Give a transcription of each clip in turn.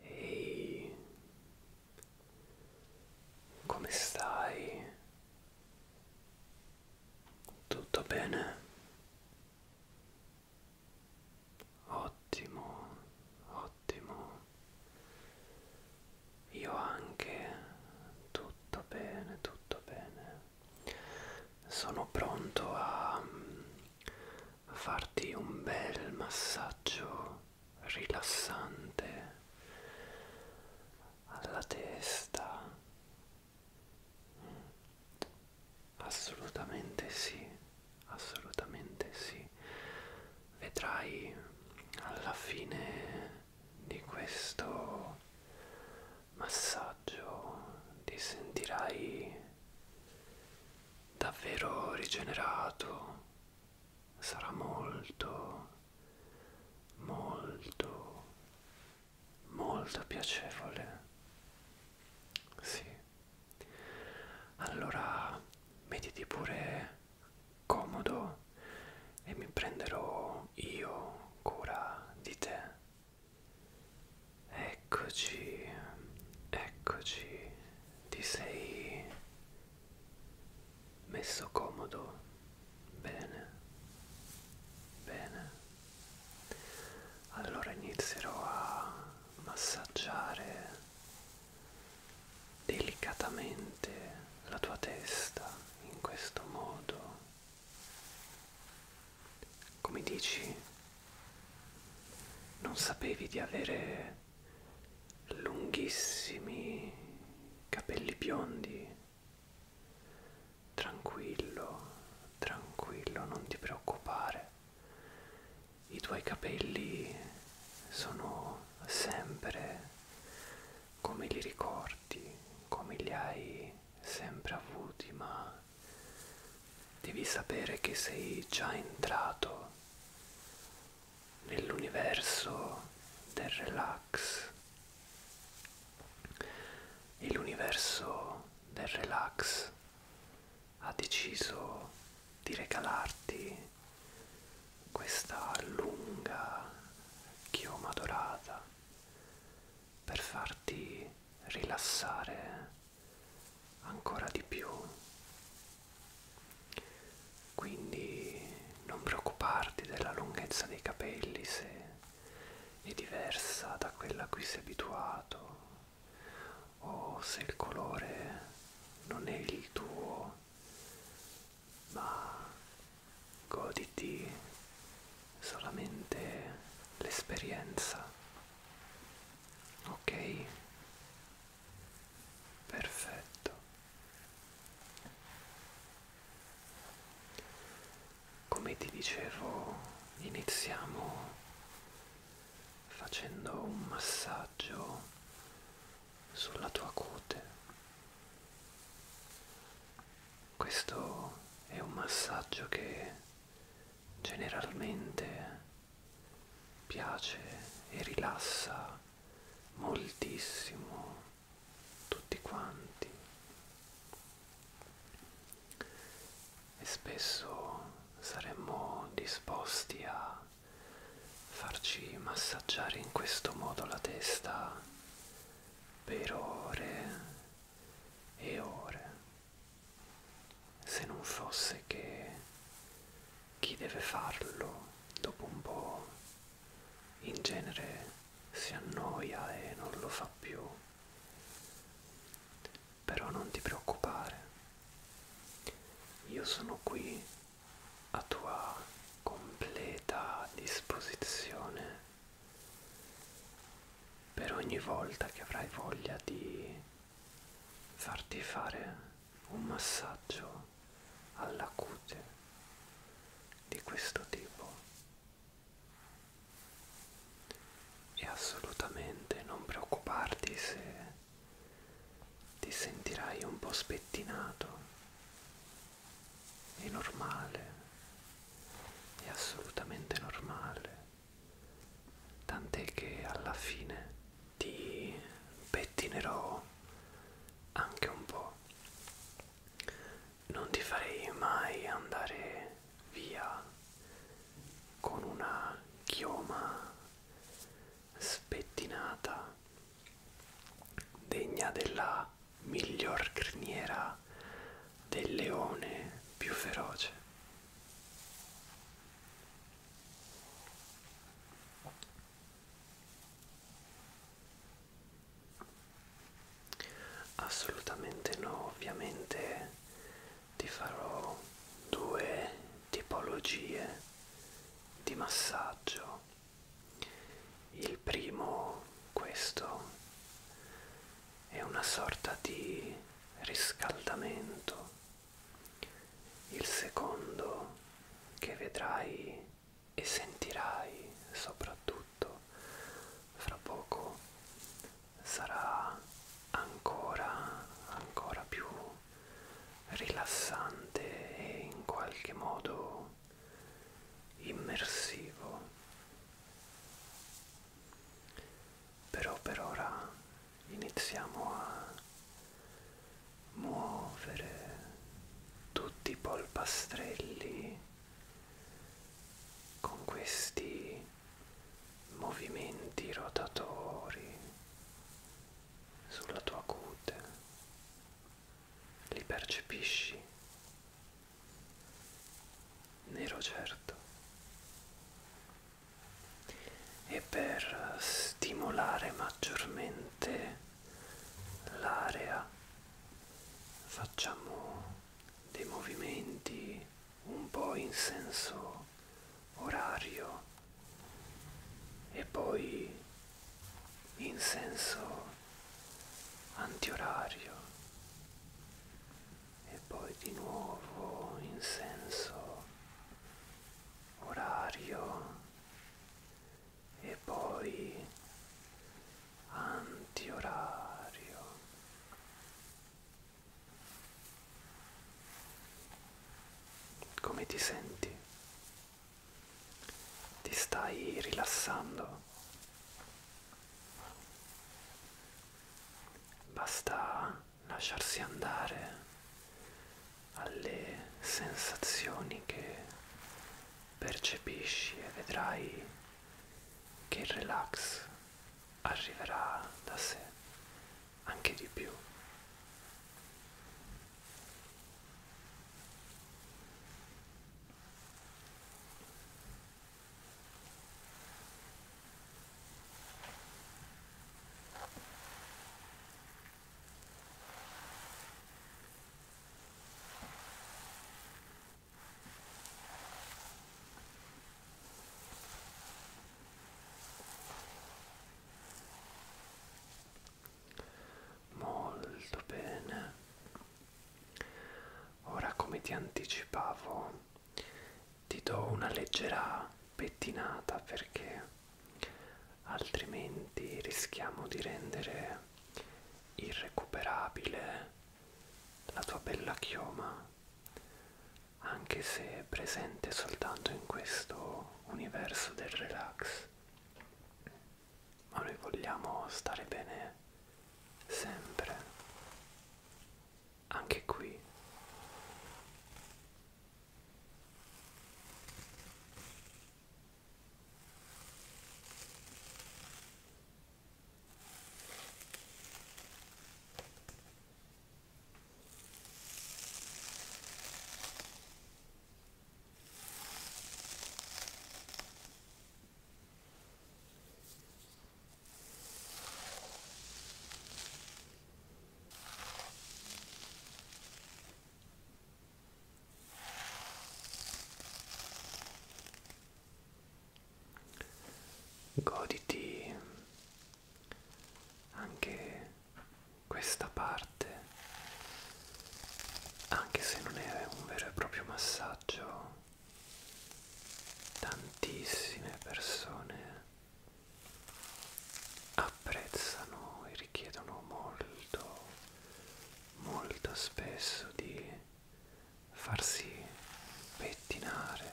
Ehi, come stai? Tutto bene? Ottimo, ottimo. Io anche. Tutto bene, tutto bene. Sono pronto a a farti un bel massaggio rilassante alla testa. Assolutamente sì, assolutamente sì. Vedrai alla fine di questo massaggio ti sentirai davvero rigenerato sarà molto molto molto piacevole sì allora mettiti pure comodo e mi prenderò io cura di te Eccoci, eccoci, ti sei messo comodo, bene, bene. Allora inizierò a massaggiare delicatamente la tua testa in questo modo. Come dici? non sapevi di avere lunghissimi capelli biondi tranquillo tranquillo non ti preoccupare i tuoi capelli sono sempre come li ricordi come li hai sempre avuti ma devi sapere che sei già entrato nell'universo del relax e l'universo del relax ha deciso di regalarti questa lunga chioma dorata per farti rilassare ancora di più quindi non preoccuparti della lunghezza dei capelli se è diversa da quella a cui sei abituato o se il colore non è il tuo ma goditi solamente l'esperienza ok perfetto come ti dicevo iniziamo facendo un massaggio sulla tua cute questo è un massaggio che generalmente piace e rilassa moltissimo tutti quanti e spesso saremmo disposti a farci massaggiare in questo modo la testa per ore e ore se non fosse che chi deve farlo dopo un po' in genere si annoia e non lo fa più. Però non ti preoccupare, io sono qui a tua completa disposizione per ogni volta che avrai voglia di farti fare un massaggio alla cute di questo tipo e assolutamente non preoccuparti se ti sentirai un po' spettinato è normale è assolutamente normale tant'è che alla fine ti pettinerò anche un po'. Non ti farei mai andare via con una chioma spettinata degna della miglior criniera del leone più feroce. Assolutamente no, ovviamente ti farò due tipologie di massaggio. Il primo, questo, è una sorta di riscaldamento il secondo che vedrai e sentirai soprattutto fra poco sarà ancora, ancora più rilassante e in qualche modo immersivo però per ora iniziamo a muovere tutti i polpastrelli con questi movimenti rotatori sulla tua cute li percepisci nero certo e per stimolare maggiormente l'area facciamo dei movimenti un po' in senso orario e poi in senso antiorario e poi di nuovo in senso orario e poi antiorario come ti senti ti stai rilassando basta lasciarsi andare alle sensazioni che percepisci e vedrai che il relax arriverà da sé anche di più. Molto bene. Ora come ti anticipavo ti do una leggera pettinata perché altrimenti rischiamo di rendere irrecuperabile la tua bella chioma anche se presente soltanto in questo universo del relax ma noi vogliamo stare bene sempre anche qui Goditi anche questa parte, anche se non è un vero e proprio massaggio, tantissime persone apprezzano e richiedono molto, molto spesso di farsi pettinare.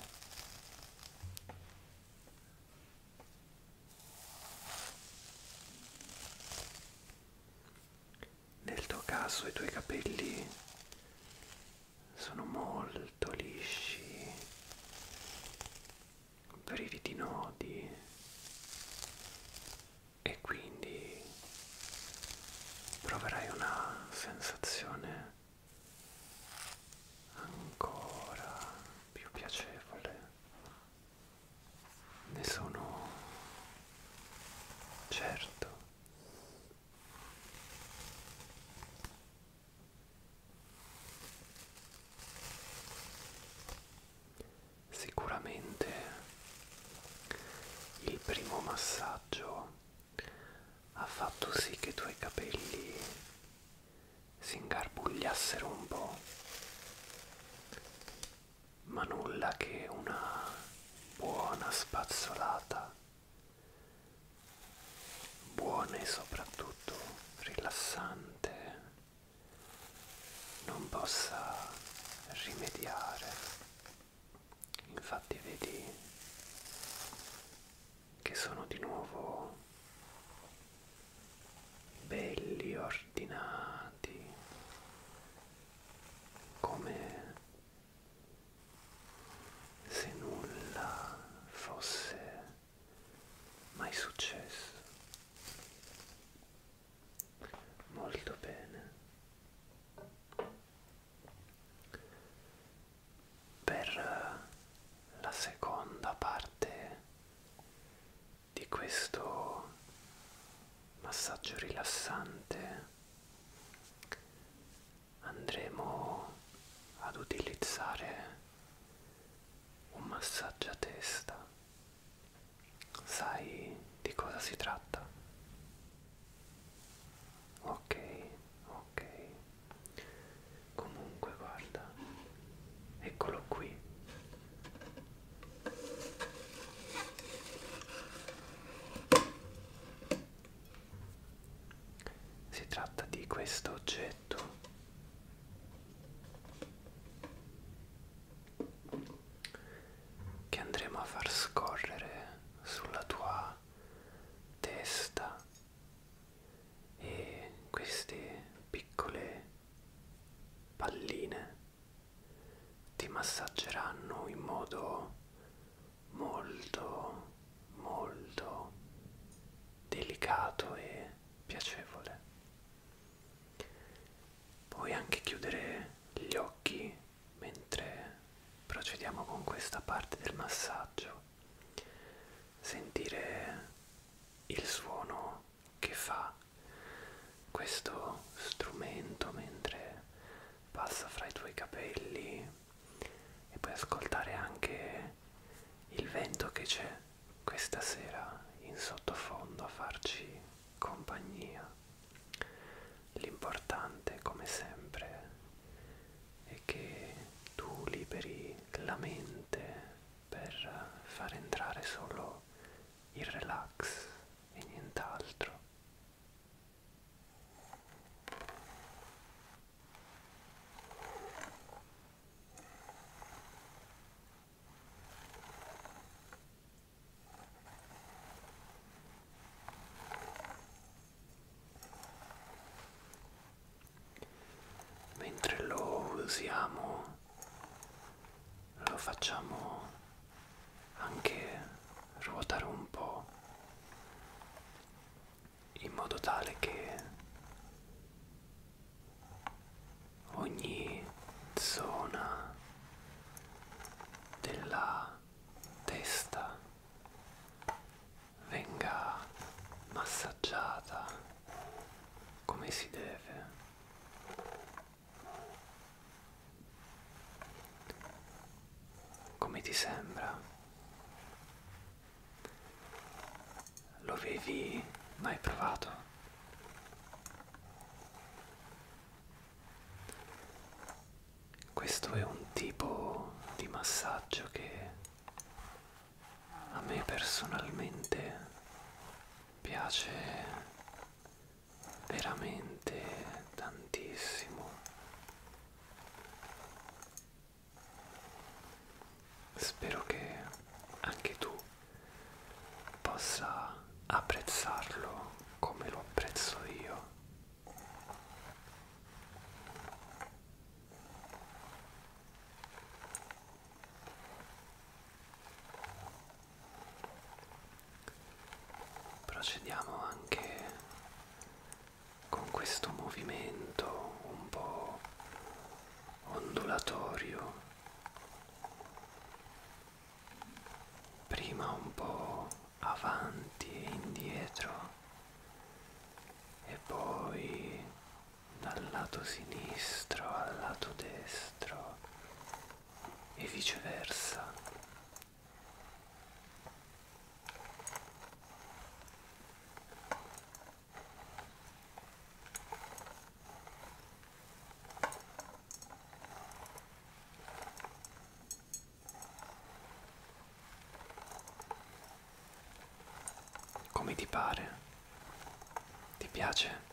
Nel tuo caso i tuoi capelli sono molto molto lisci, privi di nodi e quindi proverai una sensazione ancora più piacevole ne sono certo Sicuramente il primo massaggio ha fatto sì che i tuoi capelli si ingarbugliassero un po', ma nulla che una buona spazzolata buone e soprattutto rilassante non possa rimediare infatti vedi che sono di nuovo belli ordinati come se nulla fosse mai successo. Molto bene. Per eh, la seconda parte di questo massaggio rilassante andremo ad utilizzare un massaggio a testa. Sai di cosa si tratta? Ok, ok. Comunque guarda, eccolo qui. Si tratta di questo oggetto che andremo a far scorrere sulla tua testa e queste piccole palline ti massaggeranno in modo molto molto delicato e piacevole. Puoi anche chiudere gli occhi mentre procediamo con questa parte del massaggio, sentire il suono che fa questo strumento mentre passa fra i tuoi capelli e puoi ascoltare anche il vento che c'è questa sera in sottofondo a farci compagnia. L'importante, come sempre, è che tu liberi la mente per far entrare solo il relax e nient'altro mentre lo usiamo lo facciamo anche ruotare un po' in modo tale che ogni zona della testa venga massaggiata come si deve come ti sembra lo avevi mai provato? Questo è un tipo di massaggio che a me personalmente piace veramente tantissimo Spero che anche tu possa apprezzarlo come lo apprezzo io. Procediamo anche con questo movimento un po' ondulatorio, prima un po' avanti e indietro e poi dal lato sinistro al lato destro e viceversa. Come ti pare? Ti piace?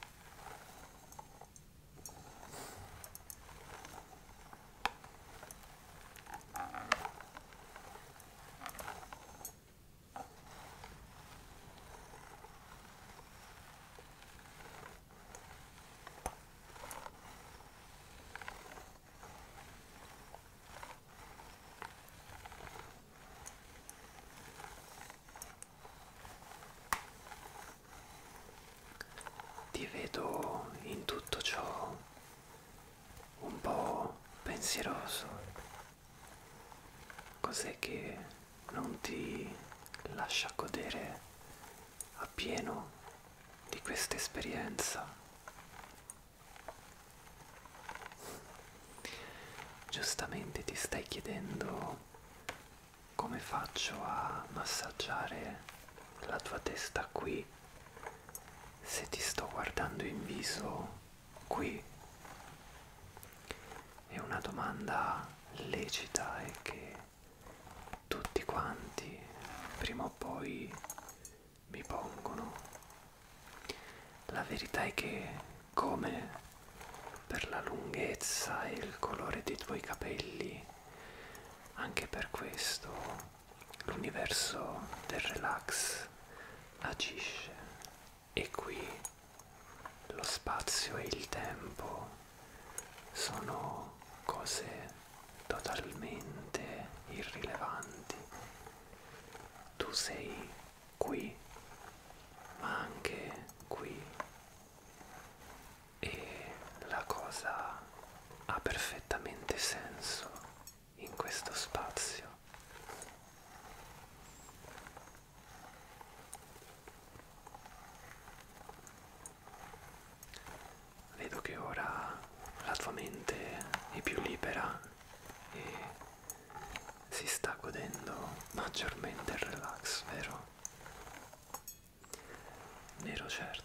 Ti vedo in tutto ciò un po' pensieroso Cos'è che non ti lascia godere appieno di questa esperienza? Giustamente ti stai chiedendo come faccio a massaggiare la tua testa qui se ti sto guardando in viso qui è una domanda lecita e che tutti quanti prima o poi mi pongono. La verità è che come per la lunghezza e il colore dei tuoi capelli, anche per questo l'universo del relax agisce e qui lo spazio e il tempo sono cose totalmente irrilevanti. Tu sei qui, ma anche qui. E la cosa ha perfettamente senso in questo spazio. Vedo che ora la tua mente è più libera e si sta godendo maggiormente il relax, vero? Nero certo.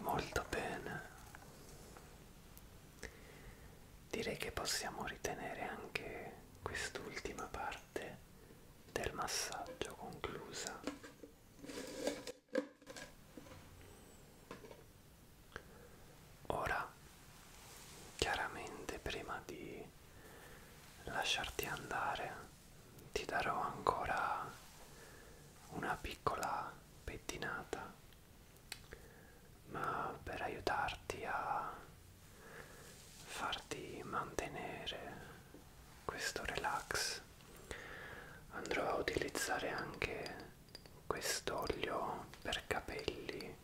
molto bene direi che possiamo ritenere anche quest'ultima parte del massaggio conclusa ora chiaramente prima di lasciarti andare ti darò ancora una piccola pettinata ma per aiutarti a farti mantenere questo relax andrò a utilizzare anche quest'olio per capelli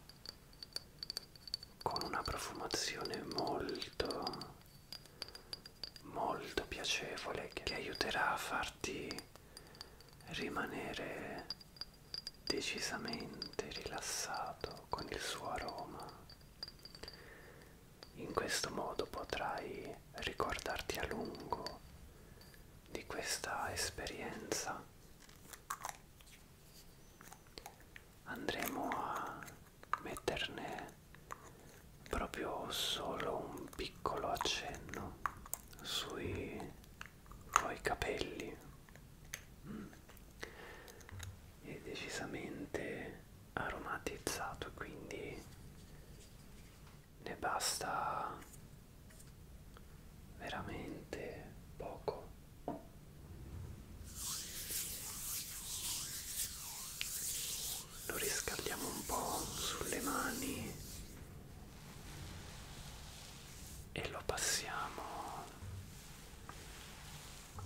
con una profumazione molto molto piacevole che aiuterà a farti rimanere decisamente rilassato con il suo aroma. In questo modo potrai ricordarti a lungo di questa esperienza. Andremo a metterne proprio solo un piccolo accenno sui tuoi capelli mm. è decisamente aromatizzato quindi ne basta veramente poco lo riscaldiamo un po' sulle mani e lo passiamo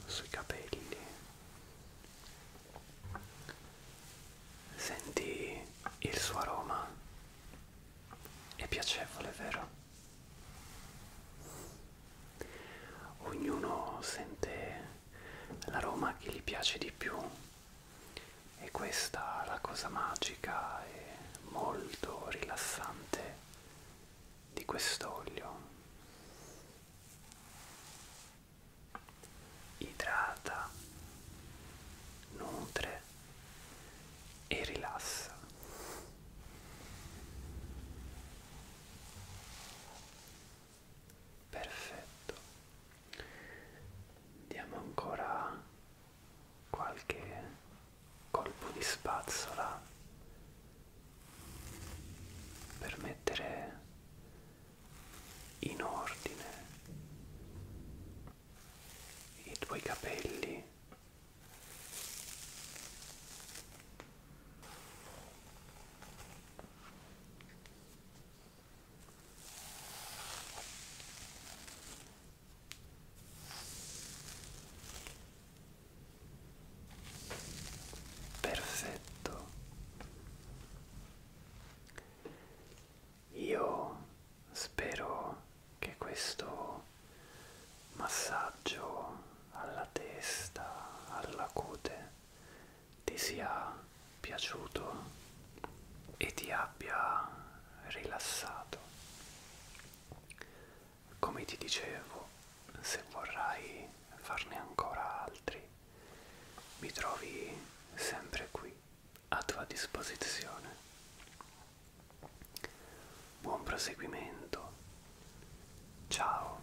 sui capelli senti il suo aroma è piacevole vero ognuno sente l'aroma che gli piace di più e questa è la cosa magica e molto rilassante di quest'olio idrata nutre e rilassa perfetto diamo ancora qualche colpo di spazzola per mettere in ordine i tuoi capelli Perfetto. Io spero che questo massaggio alla testa, alla cute ti sia piaciuto e ti abbia rilassato. Come ti dicevo, se vorrai farne ancora altri, mi trovi sempre qui a tua disposizione. Buon proseguimento. Ciao.